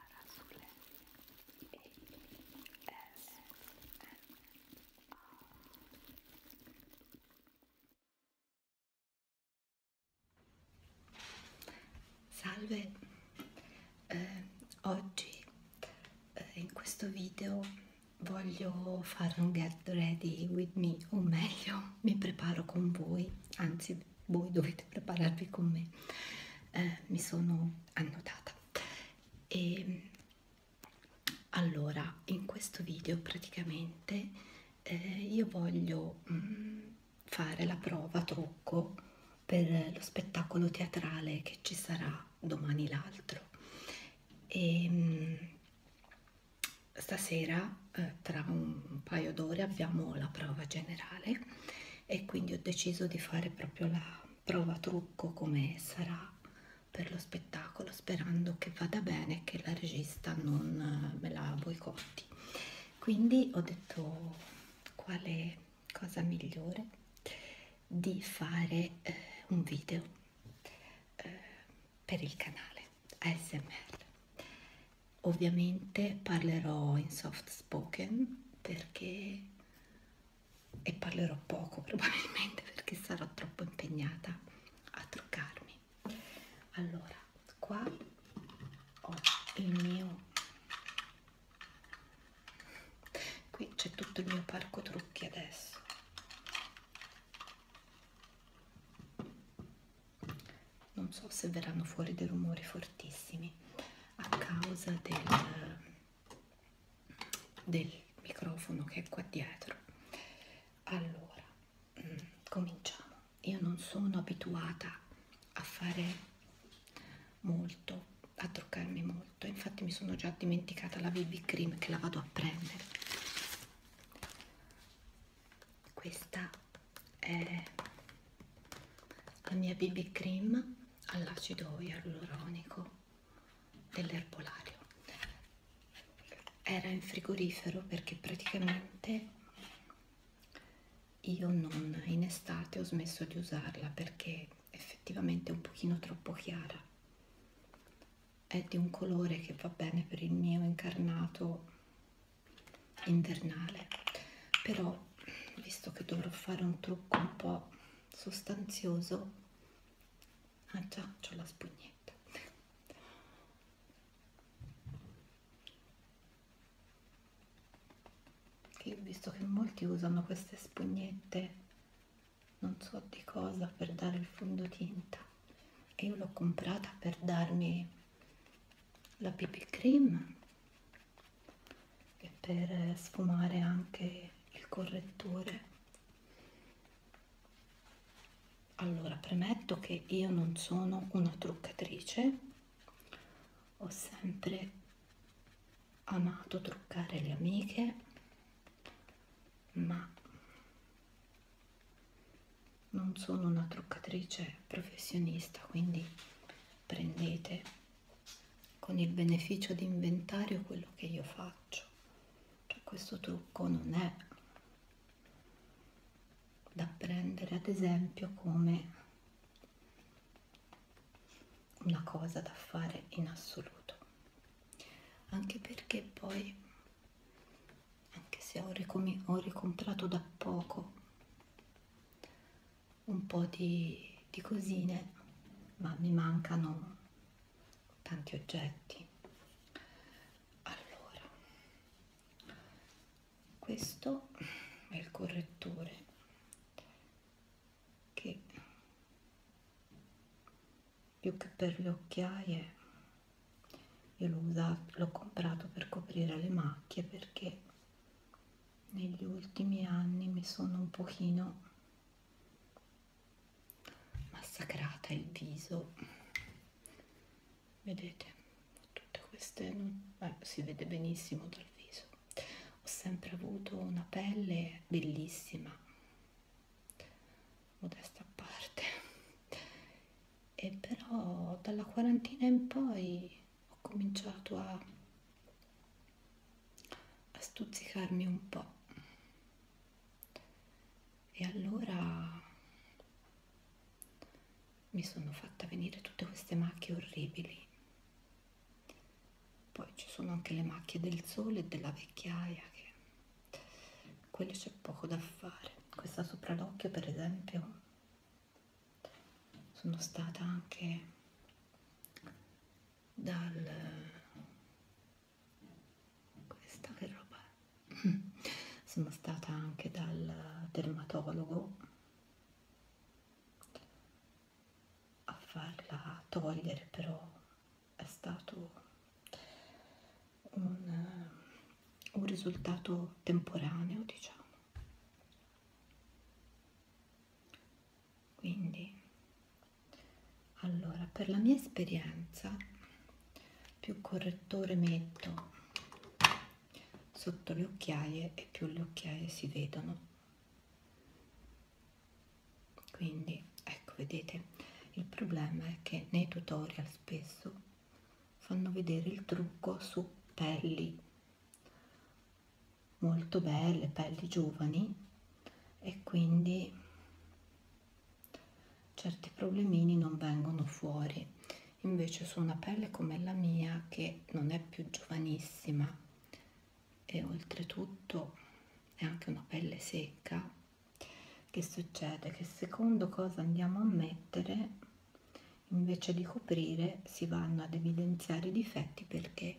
Arasule A S M Salve, eh, oggi eh, in questo video voglio fare un get ready with me, o meglio mi preparo con voi, anzi se voi dovete prepararvi con me eh, mi sono annotata e allora in questo video praticamente eh, io voglio mh, mm, fare la prova trucco per lo spettacolo teatrale che ci sarà domani l'altro e mh, mm, stasera eh, tra un paio d'ore abbiamo la prova generale e quindi ho deciso di fare proprio la prova trucco come sarà per lo spettacolo sperando che vada bene e che la regista non eh, me la boicotti quindi ho detto quale cosa migliore di fare eh, un video eh, per il canale ASMR Ovviamente parlerò in soft spoken perché e parlerò poco probabilmente perché sarò troppo impegnata a truccarmi. Allora, qua ho il mio qui c'è tutto il mio parco trucchi adesso non so se verranno fuori dei rumori fortissimi a causa del, del microfono che è qua dietro allora mm, cominciamo io non sono abituata a fare molto a truccarmi molto infatti mi sono già dimenticata la BB cream che la vado a prendere questa è la mia BB cream all'acido ialuronico dell'erbolario era in frigorifero perché praticamente io non in estate ho smesso di usarla perché effettivamente è un pochino troppo chiara è di un colore che va bene per il mio incarnato invernale però visto che dovrò fare un trucco un po' sostanzioso ah già c'ho la spugnetta io ho visto che molti usano queste spugnette non so di cosa per dare il fondotinta e io l'ho comprata per darmi la BB cream e per sfumare anche il correttore allora premetto che io non sono una truccatrice ho sempre amato truccare le amiche ma non sono una truccatrice professionista quindi prendete con il beneficio di inventario quello che io faccio cioè questo trucco non è da prendere ad esempio come una cosa da fare in assoluto anche perché poi anche se ho, ricom ho ricomprato da poco un po' di, di cosine, ma mi mancano tanti oggetti. Allora, questo è il correttore che più che per le occhiaie io l'ho comprato per coprire le macchie perché negli ultimi anni mi sono un pochino massacrata il viso vedete tutte queste non... eh, si vede benissimo dal viso ho sempre avuto una pelle bellissima modesta a parte e però dalla quarantina in poi ho cominciato a, a stuzzicarmi un po' e allora mi sono fatta venire tutte queste macchie orribili poi ci sono anche le macchie del sole e della vecchiaia che quelle c'è poco da fare questa sopra l'occhio per esempio sono stata anche dal questa che roba è? sono stata anche dal dermatologo a farla togliere però è stato un, un risultato temporaneo diciamo quindi allora per la mia esperienza più correttore metto sotto le occhiaie e più le occhiaie si vedono quindi ecco vedete il problema è che nei tutorial spesso fanno vedere il trucco su pelli molto belle, pelli giovani e quindi certi problemini non vengono fuori. Invece su una pelle come la mia che non è più giovanissima e oltretutto è anche una pelle secca, che succede? Che secondo cosa andiamo a mettere invece di coprire si vanno ad evidenziare i difetti perché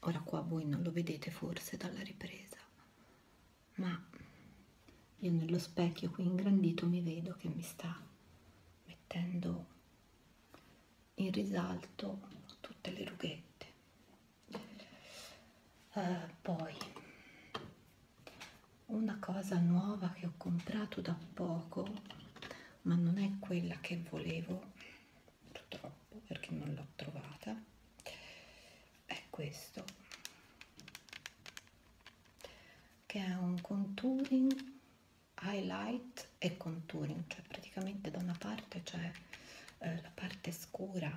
ora qua voi non lo vedete forse dalla ripresa ma io nello specchio qui ingrandito mi vedo che mi sta mettendo in risalto tutte le rughette eh, poi una cosa nuova che ho comprato da poco ma non è quella che volevo purtroppo perché non l'ho trovata è questo che è un contouring highlight e contouring cioè praticamente da una parte c'è eh, la parte scura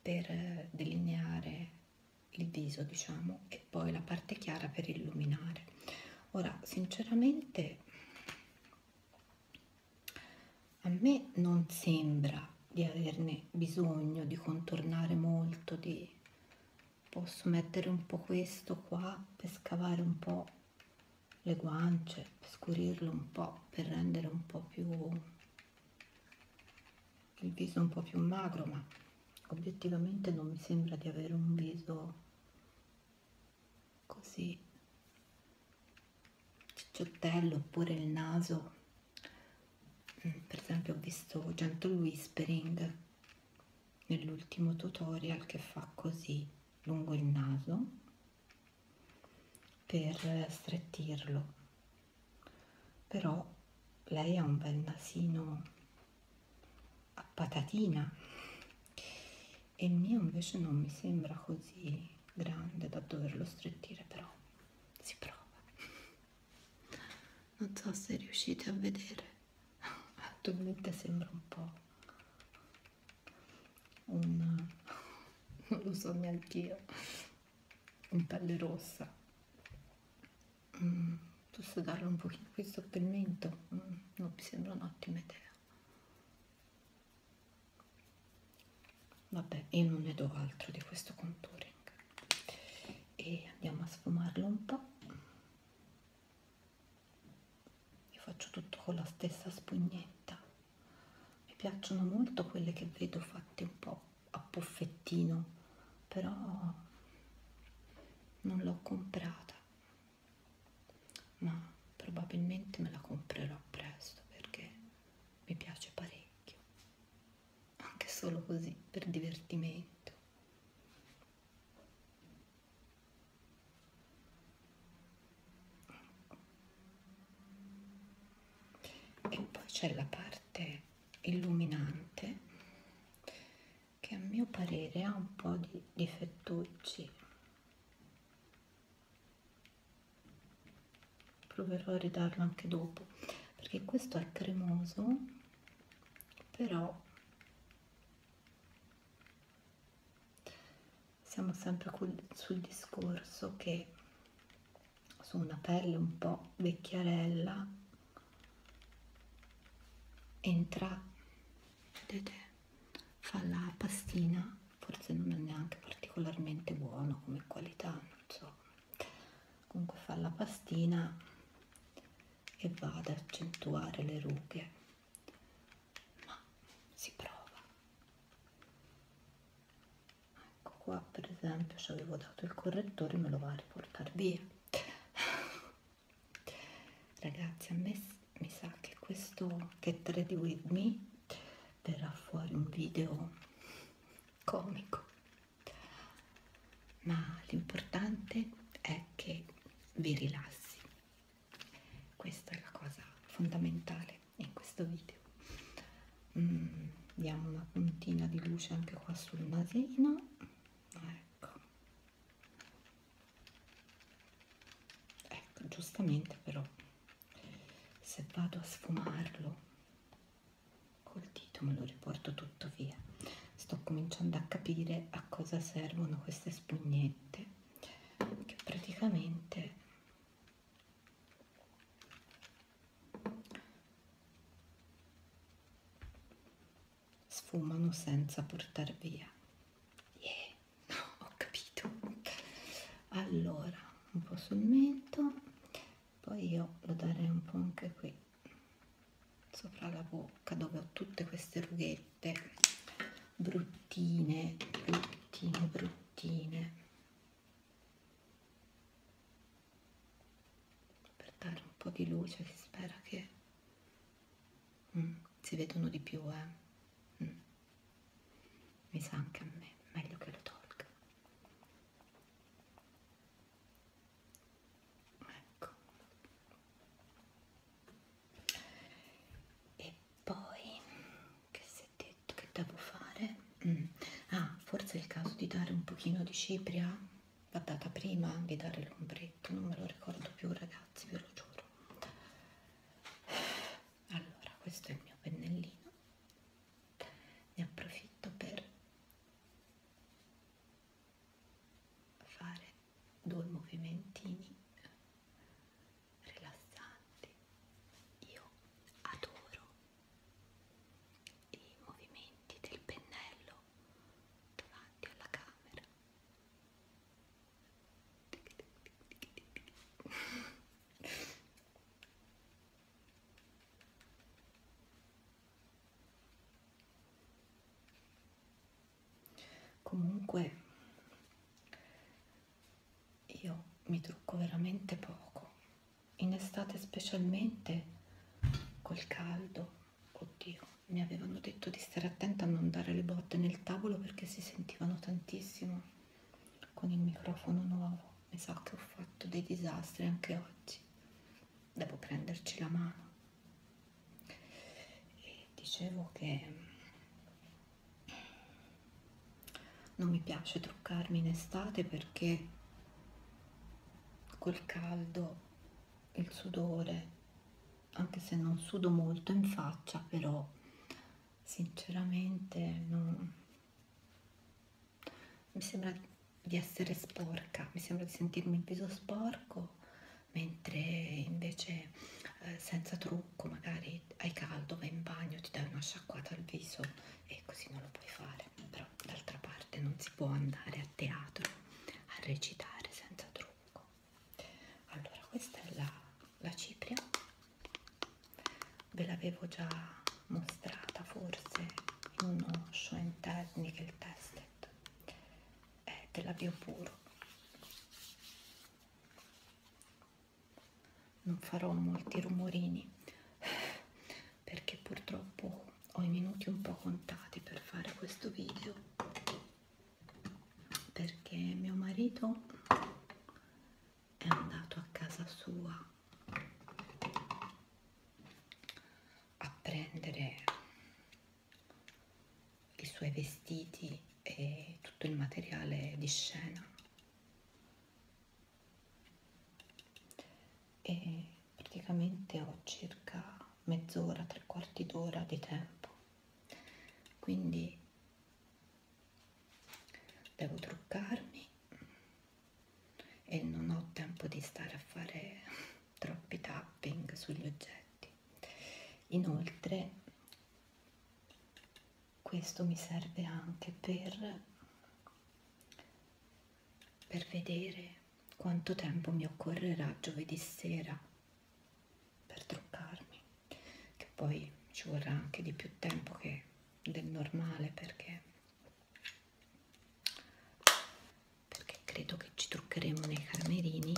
per eh, delineare il viso diciamo e poi la parte chiara per illuminare ora sinceramente a me non sembra di averne bisogno di contornare molto di posso mettere un po questo qua per scavare un po le guance per scurirlo un po per rendere un po più il viso un po più magro ma obiettivamente non mi sembra di avere un viso così cicciottello oppure il naso mm, per esempio ho visto gentle whispering nell'ultimo tutorial che fa così lungo il naso per strettirlo però lei ha un bel nasino a patatina e il mio invece non mi sembra così grande da doverlo strettire però si prova non so se riuscite a vedere attualmente sembra un po' un non lo so neanche io in pelle rossa mm, sossegarlo un pochino qui sotto il mento mm, non mi sembra un'ottima idea vabbè io non ne do altro di questo contouring e andiamo a sfumarlo un po' io faccio tutto con la stessa spugnetta mi piacciono molto quelle che vedo fatte un po' a puffettino però non l'ho comprata ma probabilmente me la comprerò presto perché mi piace parecchio, anche solo così per divertimento. E poi c'è la parte illuminante che a mio parere ha un po' di difettucci proverò a ridarlo anche dopo perché questo è cremoso però siamo sempre sul discorso che su una pelle un po' vecchiarella entra vedete fa la pastina forse non è neanche particolarmente buono come qualità non so comunque fa la pastina e va ad accentuare le rughe ma si prova ecco qua per esempio ci avevo dato il correttore me lo va a riportare via Ragazzi, a me mi sa che questo Get Ready With Me verrà fuori un video comico, ma l'importante è che vi rilassi. Questa è la cosa fondamentale in questo video. Mm, diamo una puntina di luce anche qua sul nasino. Ecco ecco giustamente però se vado a sfumarlo col dito me lo riporto tutto via sto cominciando a capire a cosa servono queste spugnette che praticamente sfumano senza portar via yeah. no ho capito allora un po' sul mento poi io lo darei un po' anche qui sopra la bocca dove ho tutte queste rughette bruttine bruttine bruttine per dare un po' di luce si spera che Mm, si vedono di più, eh. Mm. Mi sa anche a me, meglio che lo tolga. Ecco. E poi, che si è detto che devo fare? Mm. Ah, forse è il caso di dare un pochino di cipria guardata prima vi dare l'ombretto non me lo ricordo più ragazzi ve lo giuro allora questo è il mio pennellino ne approfitto per fare due movimentini rilassanti io adoro i movimenti del pennello davanti alla camera Comunque io mi trucco veramente poco, in estate specialmente col caldo, oddio mi avevano detto di stare attenta a non dare le botte nel tavolo perché si sentivano tantissimo con il microfono nuovo mi sa che ho fatto dei disastri anche oggi devo prenderci la mano e dicevo che mm, non mi piace truccarmi in estate perché col caldo il sudore anche se non sudo molto in faccia però sinceramente non... mi sembra di essere sporca mi sembra di sentirmi il viso sporco mentre invece eh, senza trucco magari hai caldo vai in bagno ti dai una sciacquata al viso e così non lo puoi fare però d'altra parte non si può andare a teatro a recitare senza trucco lungo allora questa è la, la cipria ve l'avevo già mostrata forse in uno show and technical tested è della biopuro non farò molti rumorini perché purtroppo ho i minuti un po' contati per fare questo video perché mio marito è andato a casa sua a prendere i suoi vestiti e tutto il materiale di scena e praticamente ho circa mezz'ora, tre quarti d'ora di tempo. Quindi devo truccarmi e non ho tempo di stare a fare troppi tapping sugli oggetti. Inoltre questo mi serve anche per, per vedere quanto tempo mi occorrerà giovedì sera per truccarmi che poi ci vorrà anche di più tempo che del normale perché, perché credo che ci truccheremo nei camerini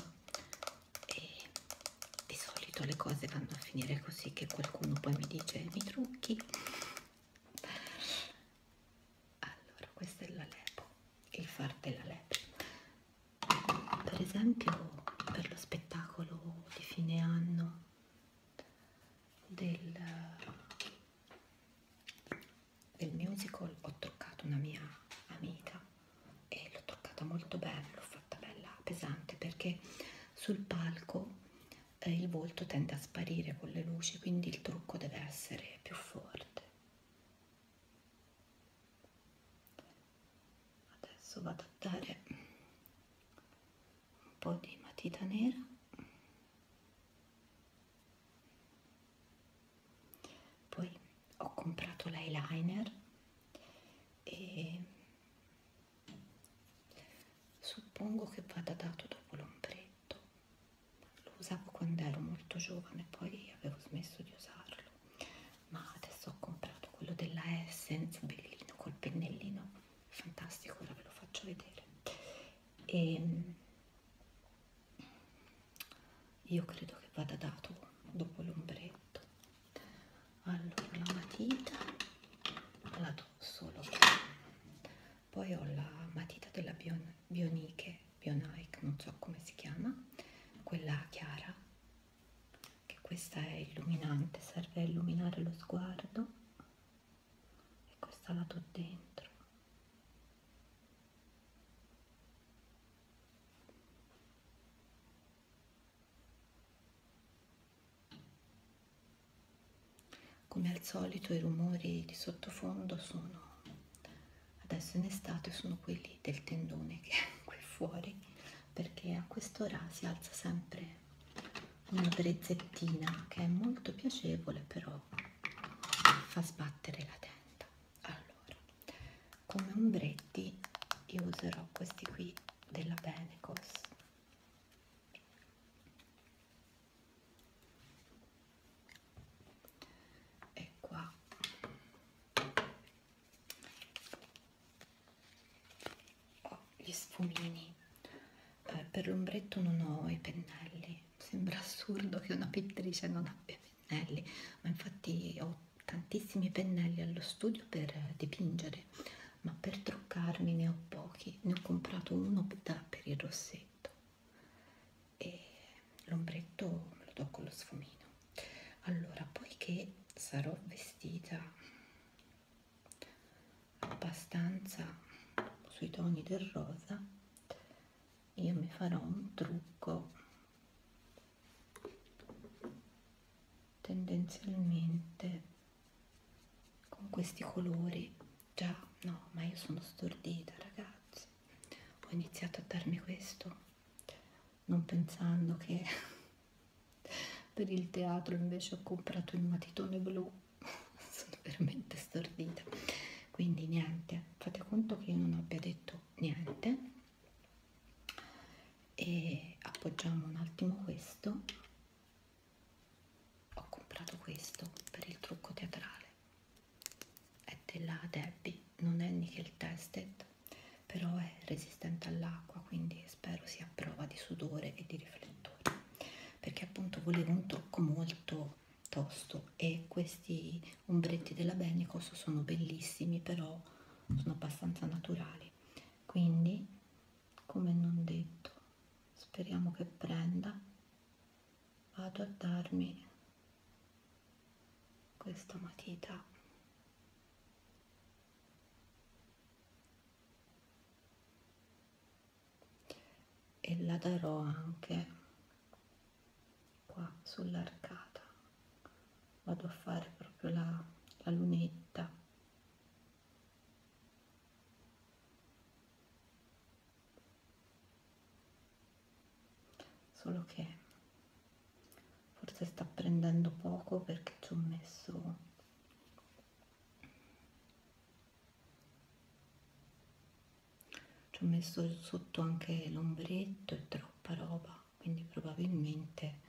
e di solito le cose vanno a finire così che qualcuno poi mi dice mi trucchi allora questa è la lepo il far della lepo per esempio per lo spettacolo di fine anno del, del musical ho truccato una mia amica e l'ho truccata molto bene l'ho fatta bella pesante perché sul palco eh, il volto tende a sparire con le luci quindi il trucco deve essere più forte adesso vado a dare un po' di matita nera poi ho comprato l'eyeliner e suppongo che vada dato dopo l'ombretto lo usavo quando ero molto giovane poi avevo smesso di usarlo ma adesso ho comprato quello della Essence bellino col pennellino fantastico ora ve lo faccio vedere e ehm, io credo che vada dato dopo l'ombretto allora la matita la do solo qui poi ho la matita della Bioniche Bionic, non so come si chiama, quella chiara, che questa è illuminante, serve a illuminare lo sguardo e questa la do dentro. Come al solito i rumori di sottofondo sono adesso in estate sono quelli del tendone che è qui fuori perché a quest'ora si alza sempre una brezzettina che è molto piacevole però fa sbattere la tenda allora come ombretti io userò questi qui della Benecos e qua ho gli sfumini eh, per l'ombretto non ho i pennelli sembra assurdo che una pittrice non abbia pennelli ma infatti ho tantissimi pennelli allo studio per dipingere ma per truccarmi ne ho pochi ne ho comprato uno per il rossetto e l'ombretto me lo do con lo sfumino allora poiché sarò vestita abbastanza sui toni del rosa io mi farò un trucco tendenzialmente con questi colori già no ma io sono stordita ragazzi ho iniziato a darmi questo non pensando che per il teatro invece ho comprato il matitone blu sono veramente stordita quindi niente fate conto che io non abbia detto niente e appoggiamo un attimo questo ho comprato questo per il trucco teatrale è della Debbie, non è nickel tested, però è resistente all'acqua, quindi spero sia a prova di sudore e di riflettore, perché appunto volevo un tocco molto tosto e questi ombretti della Benicos sono bellissimi, però sono abbastanza naturali, quindi come non detto speriamo che prenda vado a darmi questa matita e la darò anche qua sull'arcata vado a fare proprio la, la lunetta solo che forse sta prendendo poco perché ci ho messo ci ho messo sotto anche l'ombretto e troppa roba quindi probabilmente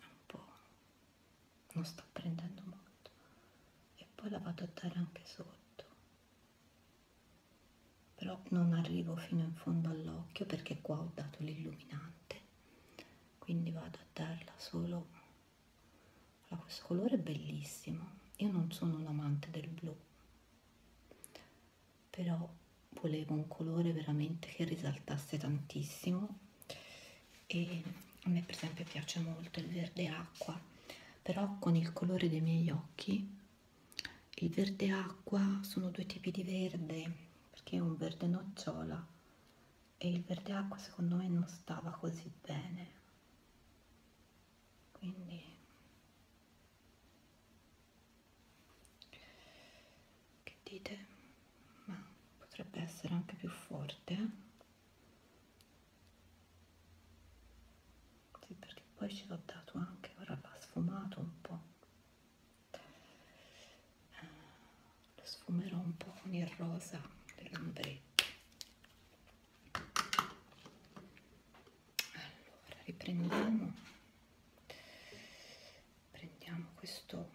un po' non sta prendendo molto e poi la vado a dare anche sotto però non arrivo fino in fondo all'occhio perché qua ho dato l'illuminante quindi vado a darla solo allora, questo colore è bellissimo io non sono un amante del blu però volevo un colore veramente che risaltasse tantissimo e a me per esempio piace molto il verde acqua però con il colore dei miei occhi il verde acqua sono due tipi di verde perché è un verde nocciola e il verde acqua secondo me non stava così bene quindi che dite ma potrebbe essere anche più forte eh? sì perché poi ce l'ho dato anche ora va sfumato un po' lo sfumerò un po' con il rosa dell'ombretto allora riprendiamo prendiamo questo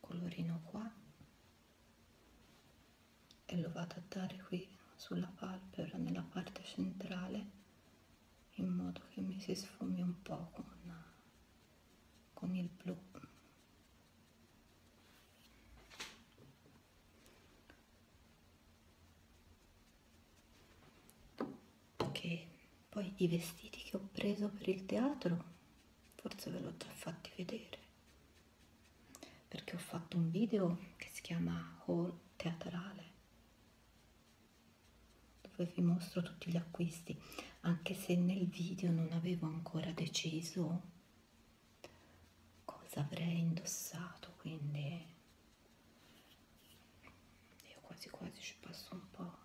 colorino qua e lo vado a dare qui sulla palpebra nella parte centrale in modo che mi si sfumi un po' con, con il blu che poi i vestiti che ho preso per il teatro forse ve l'ho già fatti vedere perché ho fatto un video che si chiama haul teatrale dove vi mostro tutti gli acquisti anche se nel video non avevo ancora deciso cosa avrei indossato quindi io quasi quasi ci passo un po'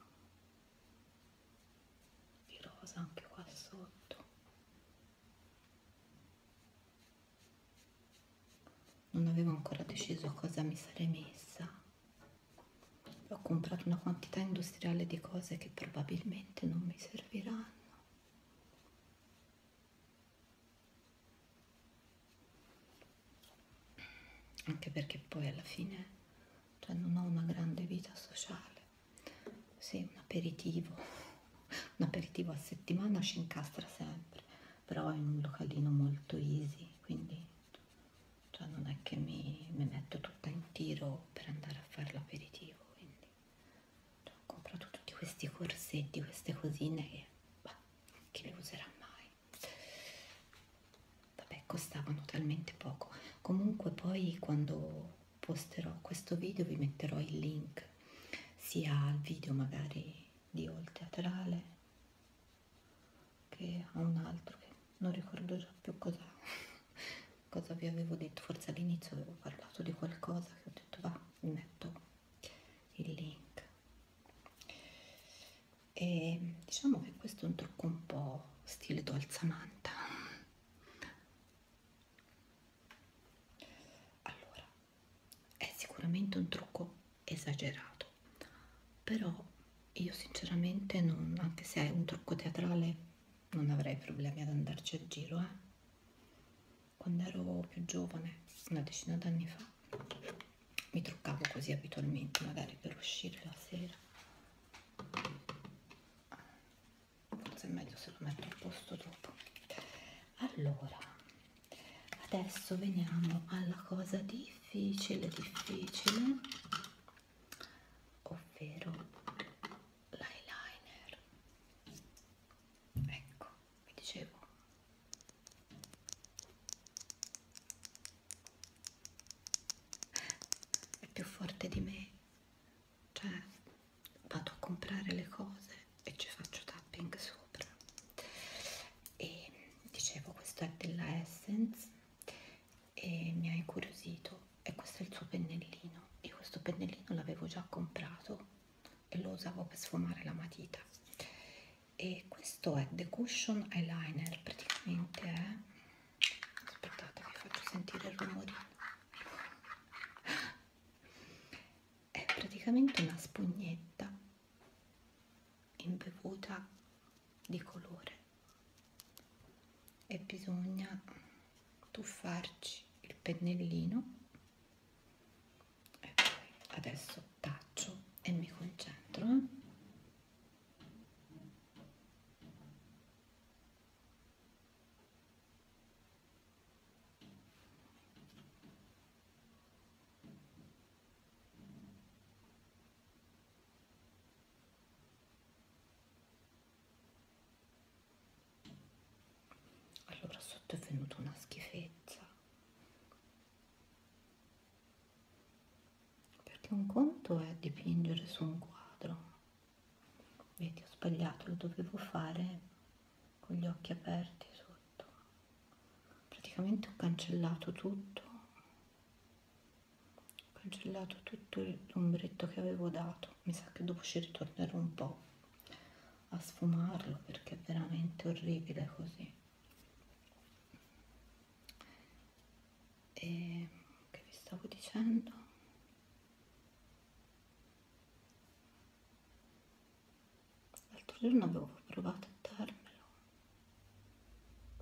di rosa anche qua sotto non avevo ancora deciso cosa mi sarei messa ho comprato una quantità industriale di cose che probabilmente non mi serviranno anche perché poi alla fine cioè non ho una grande vita sociale sì, un aperitivo, un aperitivo a settimana ci incastra sempre, però è un localino molto easy, quindi cioè non è che mi, mi metto tutta in tiro per andare a fare l'aperitivo, quindi cioè, ho comprato tutti questi corsetti, queste cosine che, bah, chi le userà mai? Vabbè, costavano talmente poco, comunque poi quando posterò questo video vi metterò il link sia al video magari di All Teatrale che a un altro che non ricordo già più cosa, cosa vi avevo detto forse all'inizio avevo parlato di qualcosa che ho detto va metto il link e diciamo che questo è un trucco un po' stile dolza manta allora è sicuramente un trucco esagerato però io sinceramente non anche se è un trucco teatrale non avrei problemi ad andarci a giro eh. quando ero più giovane una decina d'anni fa mi truccavo così abitualmente magari per uscire la sera forse è meglio se lo metto al posto dopo allora adesso veniamo alla cosa difficile difficile ovvero l'eyeliner ecco vi dicevo è più forte di me cioè vado a comprare le cose e ci faccio tapping sopra e dicevo questo è della Essence e mi ha incuriosito e questo è il suo pennellino io questo pennellino l'avevo già comprato e lo usavo per sfumare la matita e questo è The Cushion Eyeliner praticamente è aspettate vi faccio sentire il rumorino è praticamente una spugnetta imbevuta di colore e bisogna tuffarci il pennellino e poi adesso taccio e mi concentro eh? Allora sotto è venuta una schifezza. Perché un conto è dipingere su un quadro vedi ho sbagliato lo dovevo fare con gli occhi aperti sotto praticamente ho cancellato tutto ho cancellato tutto l'ombretto che avevo dato mi sa che dopo ci ritornerò un po a sfumarlo perché è veramente orribile così e che vi stavo dicendo L'altro giorno avevo provato a darmelo,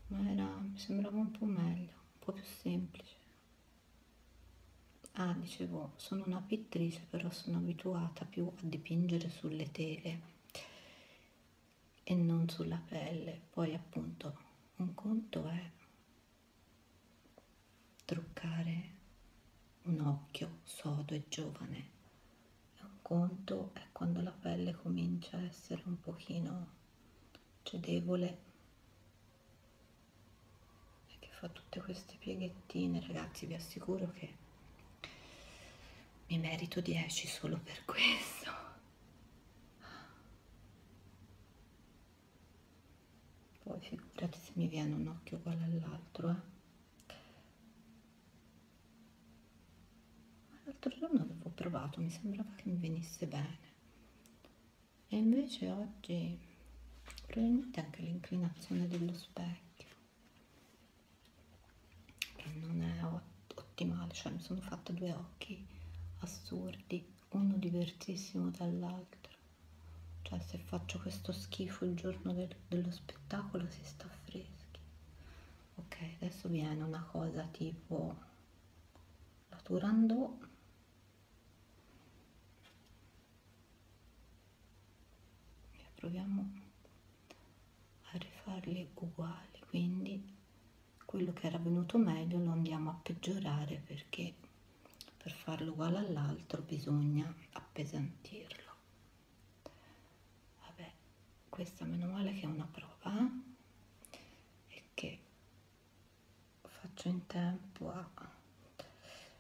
ma era, mi sembrava un po' meglio, un po' più semplice. Ah, dicevo, sono una pittrice, però sono abituata più a dipingere sulle tele e non sulla pelle. Poi appunto un conto è truccare un occhio sodo e giovane è un conto è quando la pelle comincia a essere un pochino cedevole e che fa tutte queste pieghettine ragazzi vi assicuro che mi merito 10 solo per questo poi figurate se mi viene un occhio uguale all'altro eh. l'altro giorno avevo provato mi sembrava che mi venisse bene e invece oggi probabilmente anche l'inclinazione dello specchio che non è ottimale cioè mi sono fatta due occhi assurdi uno diversissimo dall'altro cioè se faccio questo schifo il giorno del, dello spettacolo si sta freschi ok adesso viene una cosa tipo la turandot e proviamo a rifarli uguali quindi quello che era venuto meglio lo andiamo a peggiorare perché per farlo uguale all'altro bisogna appesantirlo vabbè questa meno male che è una prova eh? e che faccio in tempo a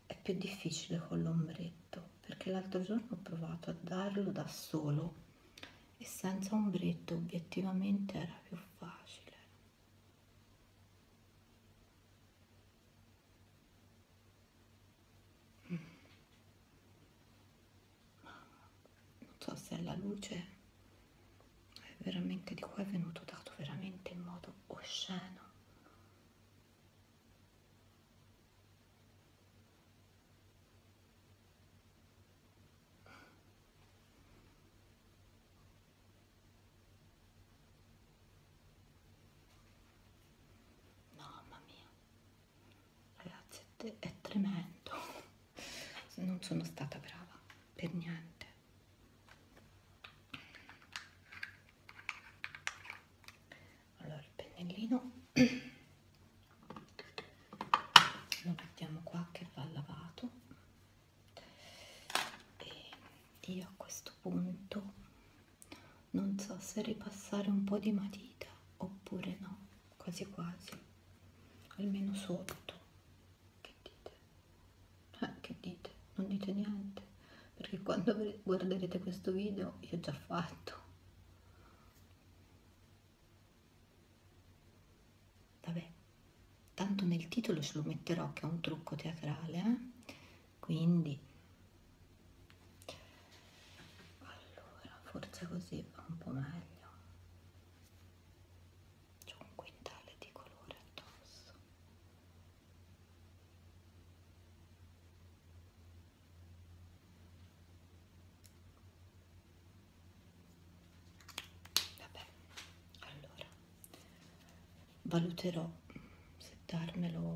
è più difficile con l'ombretto perché l'altro giorno ho provato a darlo da solo e senza ombretto obiettivamente era più facile non so se è la luce è veramente di qua è venuto dato veramente in modo osceno Mamma mia, ragazzi, è, è tremendo. Non sono stata brava per niente. Allora, il pennellino lo mettiamo qua che va lavato e io a questo punto non so se ripassare un po' di matita oppure no quasi quasi almeno sotto che dite eh, che dite non dite niente perché quando guarderete questo video io ho già fatto vabbè tanto nel titolo ce lo metterò che è un trucco teatrale eh? quindi allora forse così va un po' meglio c'è un quintale di colore addosso vabbè allora valuterò se darmelo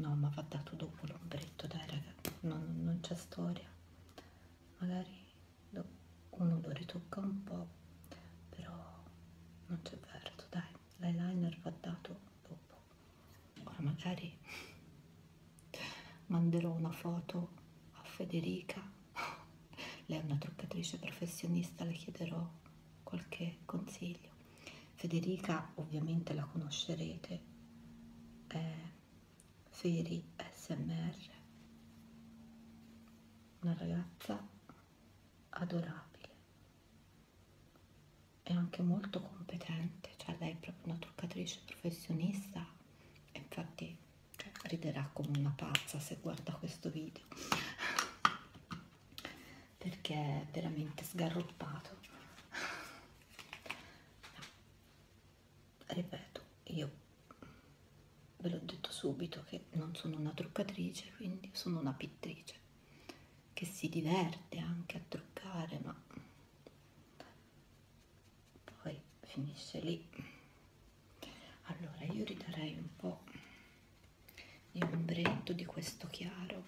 no ma va dato dopo l'ombretto dai raga non, non c'è storia magari uno lo ritocca un po però non c'è verso dai l'eyeliner va dato dopo ora magari manderò una foto a Federica lei è una truccatrice professionista, le chiederò qualche consiglio. Federica ovviamente la conoscerete, è Feri SMR, una ragazza adorabile e anche molto competente, cioè lei è proprio una truccatrice professionista e infatti cioè, riderà come una pazza se guarda questo video perché è veramente sgarroppato ripeto io ve l'ho detto subito che non sono una truccatrice quindi sono una pittrice che si diverte anche a truccare ma poi finisce lì allora io ridarei un po' e ombretto di questo chiaro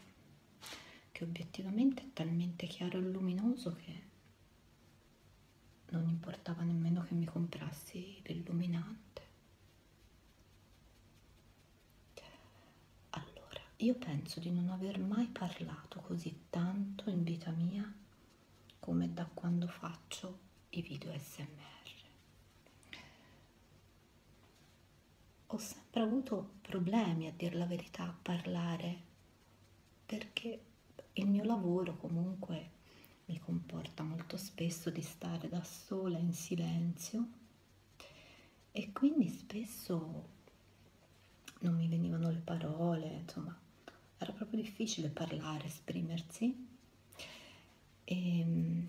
che obiettivamente è talmente chiaro e luminoso che non importava nemmeno che mi comprassi l'illuminante allora io penso di non aver mai parlato così tanto in vita mia come da quando faccio i video smr ho sempre avuto problemi, a dir la verità, a parlare, perché il mio lavoro comunque mi comporta molto spesso di stare da sola in silenzio e quindi spesso non mi venivano le parole, insomma, era proprio difficile parlare, esprimersi e, ehm,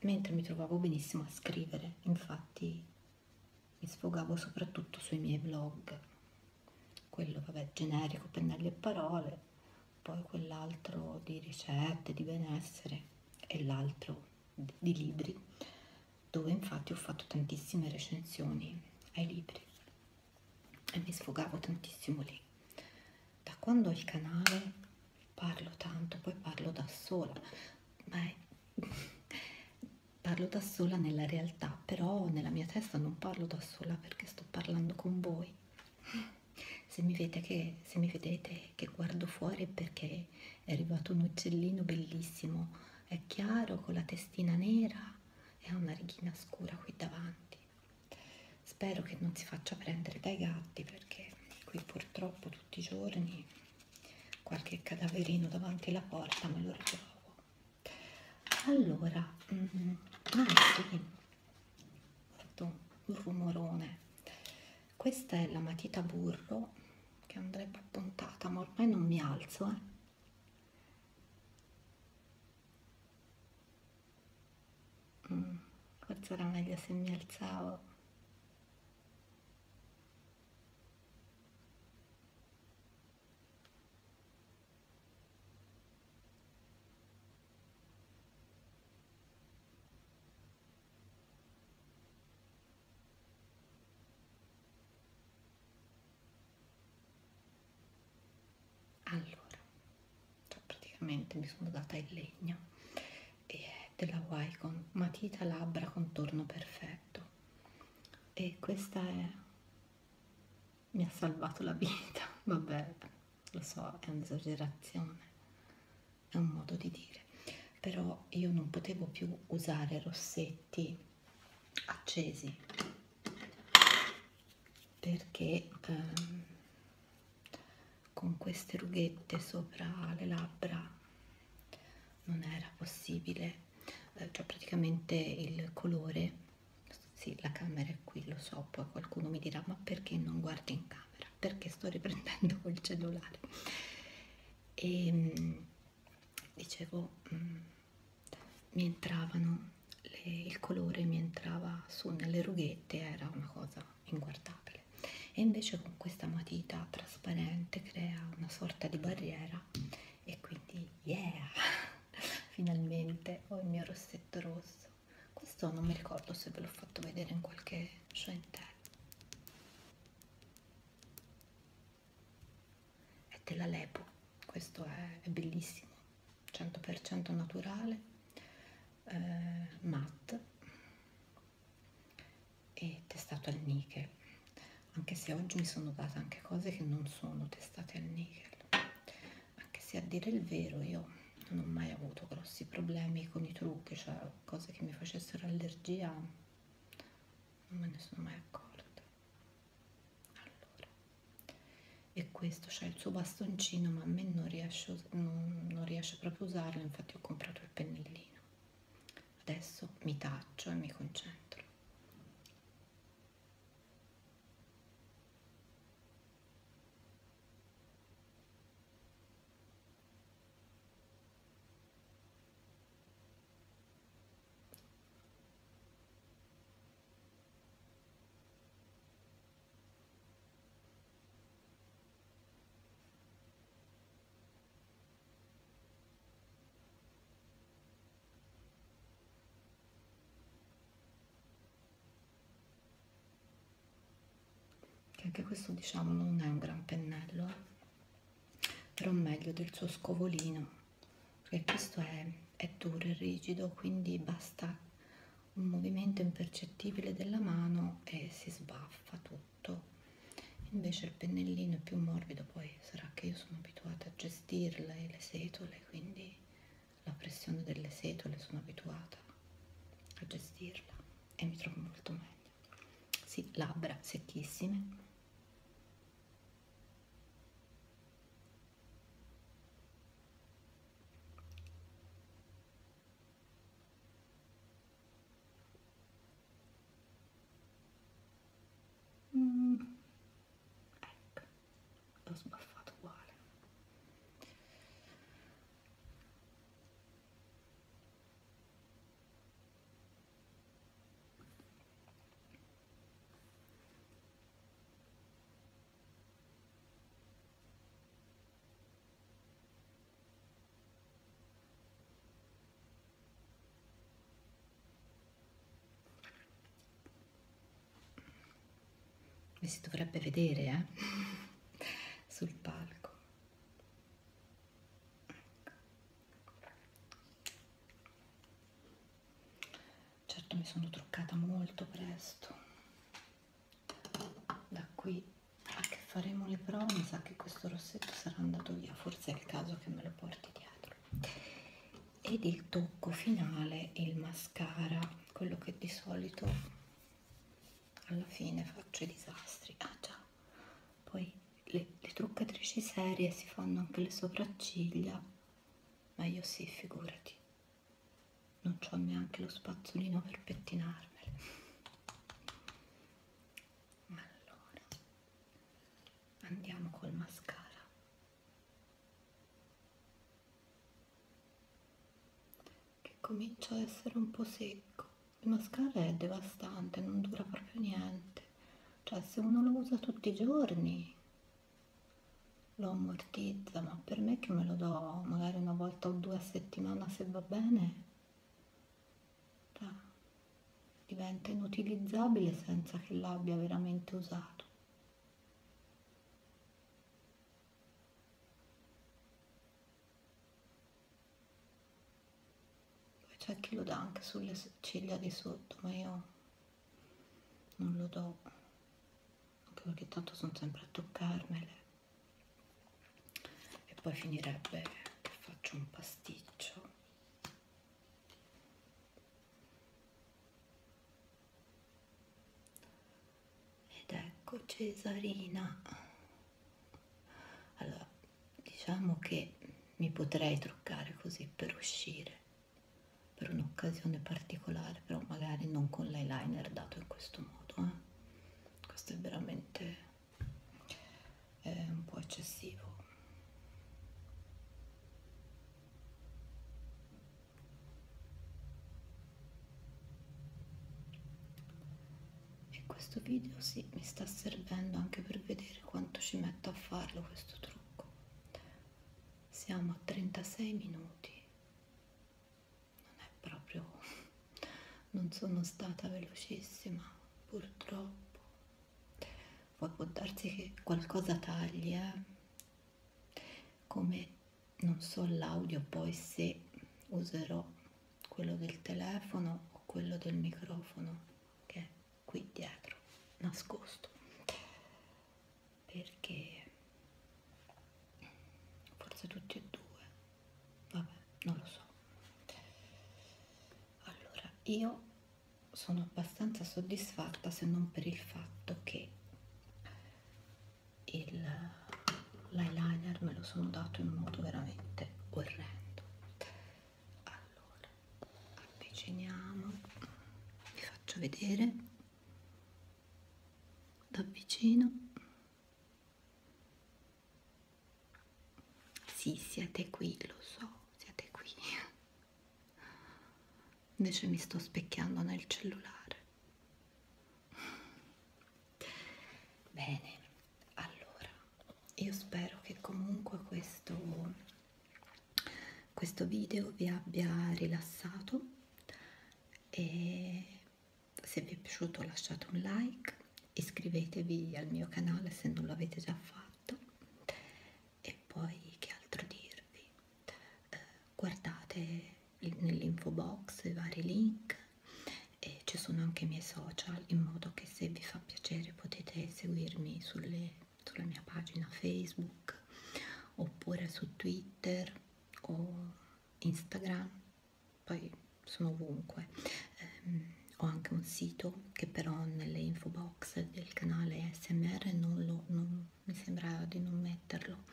mentre mi trovavo benissimo a scrivere, infatti mi sfogavo soprattutto sui miei blog, quello vabbè generico, pennelli e parole, poi quell'altro di ricette, di benessere e l'altro di libri, dove infatti ho fatto tantissime recensioni ai libri e mi sfogavo tantissimo lì. Da quando ho il canale parlo tanto, poi parlo da sola, ma è... parlo da sola nella realtà, però nella mia testa non parlo da sola perché sto parlando con voi. Se mi, che, se mi vedete che guardo fuori è perché è arrivato un uccellino bellissimo, è chiaro, con la testina nera e ha una righina scura qui davanti. Spero che non si faccia prendere dai gatti perché qui purtroppo tutti i giorni qualche cadaverino davanti alla porta me lo ritrovo. Allora, mm -hmm. ah, sì. fatto un rumorone. Questa è la matita burro che andrebbe appuntata, ma ormai non mi alzo, eh. Mm, forse era meglio se mi alzavo. Allora, cioè praticamente mi sono data in legna e è della Wycon matita labbra contorno perfetto e questa è mi ha salvato la vita vabbè lo so è un'esagerazione è un modo di dire però io non potevo più usare rossetti accesi perché ehm, con queste rughette sopra le labbra non era possibile eh, cioè praticamente il colore sì la camera è qui lo so poi qualcuno mi dirà ma perché non guardi in camera perché sto riprendendo col cellulare e ehm, dicevo mh, mm, mi entravano le, il colore mi entrava su nelle rughette era una cosa inguardabile e invece con questa matita trasparente crea una sorta di barriera e quindi yeah finalmente ho il mio rossetto rosso questo non mi ricordo se ve l'ho fatto vedere in qualche show interno è della Lepo questo è, è bellissimo 100% naturale eh, matte e testato al nickel anche se oggi mi sono data anche cose che non sono testate al nickel anche se a dire il vero io non ho mai avuto grossi problemi con i trucchi cioè cose che mi facessero allergia non me ne sono mai accorta allora e qui questo, c'è il suo bastoncino, ma a me non riesce, non, non riesce proprio a usarlo, infatti ho comprato il pennellino. Adesso mi taccio e mi concentro che anche questo diciamo non è un gran pennello eh? però meglio del suo scovolino perché questo è, è duro e rigido quindi basta un movimento impercettibile della mano e si sbaffa tutto invece il pennellino è più morbido poi sarà che io sono abituata a gestirle le setole quindi la pressione delle setole sono abituata a gestirla e mi trovo molto meglio sì, labbra secchissime Mm. Ecco, l'ho sbaffato uguale. Mi si dovrebbe vedere eh? sul palco. Certo mi sono truccata molto presto da qui a che faremo le prove mi sa che questo rossetto sarà andato via forse è il caso che me lo porti dietro ed il tocco finale il mascara quello che di solito alla fine faccio i disastri ah già poi le, le truccatrici serie si fanno anche le sopracciglia ma io sì figurati non ho neanche lo spazzolino per pettinarmele allora andiamo col mascara che comincia a essere un po' secco il mascara è devastante non dura proprio niente cioè se uno lo usa tutti i giorni lo quantizza, ma per me che me lo do magari una volta o due a settimana se va bene, cioè, diventa inutilizzabile senza che l'abbia veramente usato. Poi c'è chi lo dà anche sulle ciglia di sotto, ma io non lo do anche perché tanto sono sempre a toccarmele e poi finirebbe che faccio un pasticcio ed ecco Cesarina allora diciamo che mi potrei truccare così per uscire per un'occasione particolare però magari non con l'eyeliner dato in questo modo eh? questo è veramente eh, un po' eccessivo e questo video sì, mi sta servendo anche per vedere quanto ci metto a farlo questo trucco siamo a 36 minuti non è proprio non sono stata velocissima purtroppo poi può darsi che qualcosa tagli eh? come non so l'audio poi se userò quello del telefono o quello del microfono che è qui dietro nascosto perché forse tutti e due vabbè non lo so allora io sono abbastanza soddisfatta se non per il fatto che l'eyeliner me lo sono dato in modo veramente orrendo allora avviciniamo vi faccio vedere da vicino sì, siete qui, lo so, siete qui. Invece mi sto specchiando nel cellulare. Bene, allora, io spero che comunque questo, questo video vi abbia rilassato e se vi è piaciuto lasciate un like iscrivetevi al mio canale se non l'avete già fatto e poi che altro dirvi eh, guardate nell'info box i vari link e ci sono anche i miei social in modo che se vi fa piacere potete seguirmi sulle, sulla mia pagina facebook oppure su twitter o instagram poi sono ovunque eh, ho anche un sito che però nelle info box del canale smr non lo non, mi sembra di non metterlo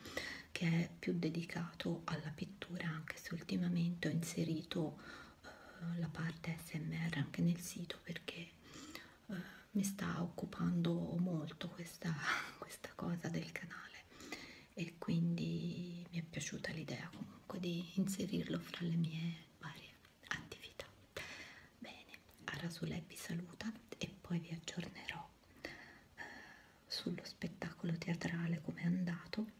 che è più dedicato alla pittura anche se ultimamente ho inserito eh, la parte smr anche nel sito perché eh, mi sta occupando molto questa, questa cosa del canale e quindi mi è piaciuta l'idea comunque di inserirlo fra le mie varie attività. Bene, a Rasulè vi saluta e poi vi aggiornerò eh, sullo spettacolo teatrale come è andato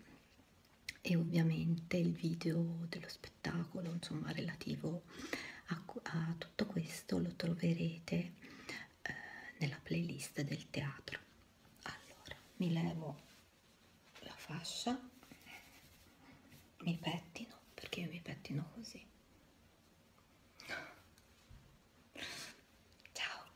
e ovviamente il video dello spettacolo insomma relativo a, a tutto questo lo troverete eh, nella playlist del teatro allora mi levo la fascia mi pettino perché io mi pettino così ciao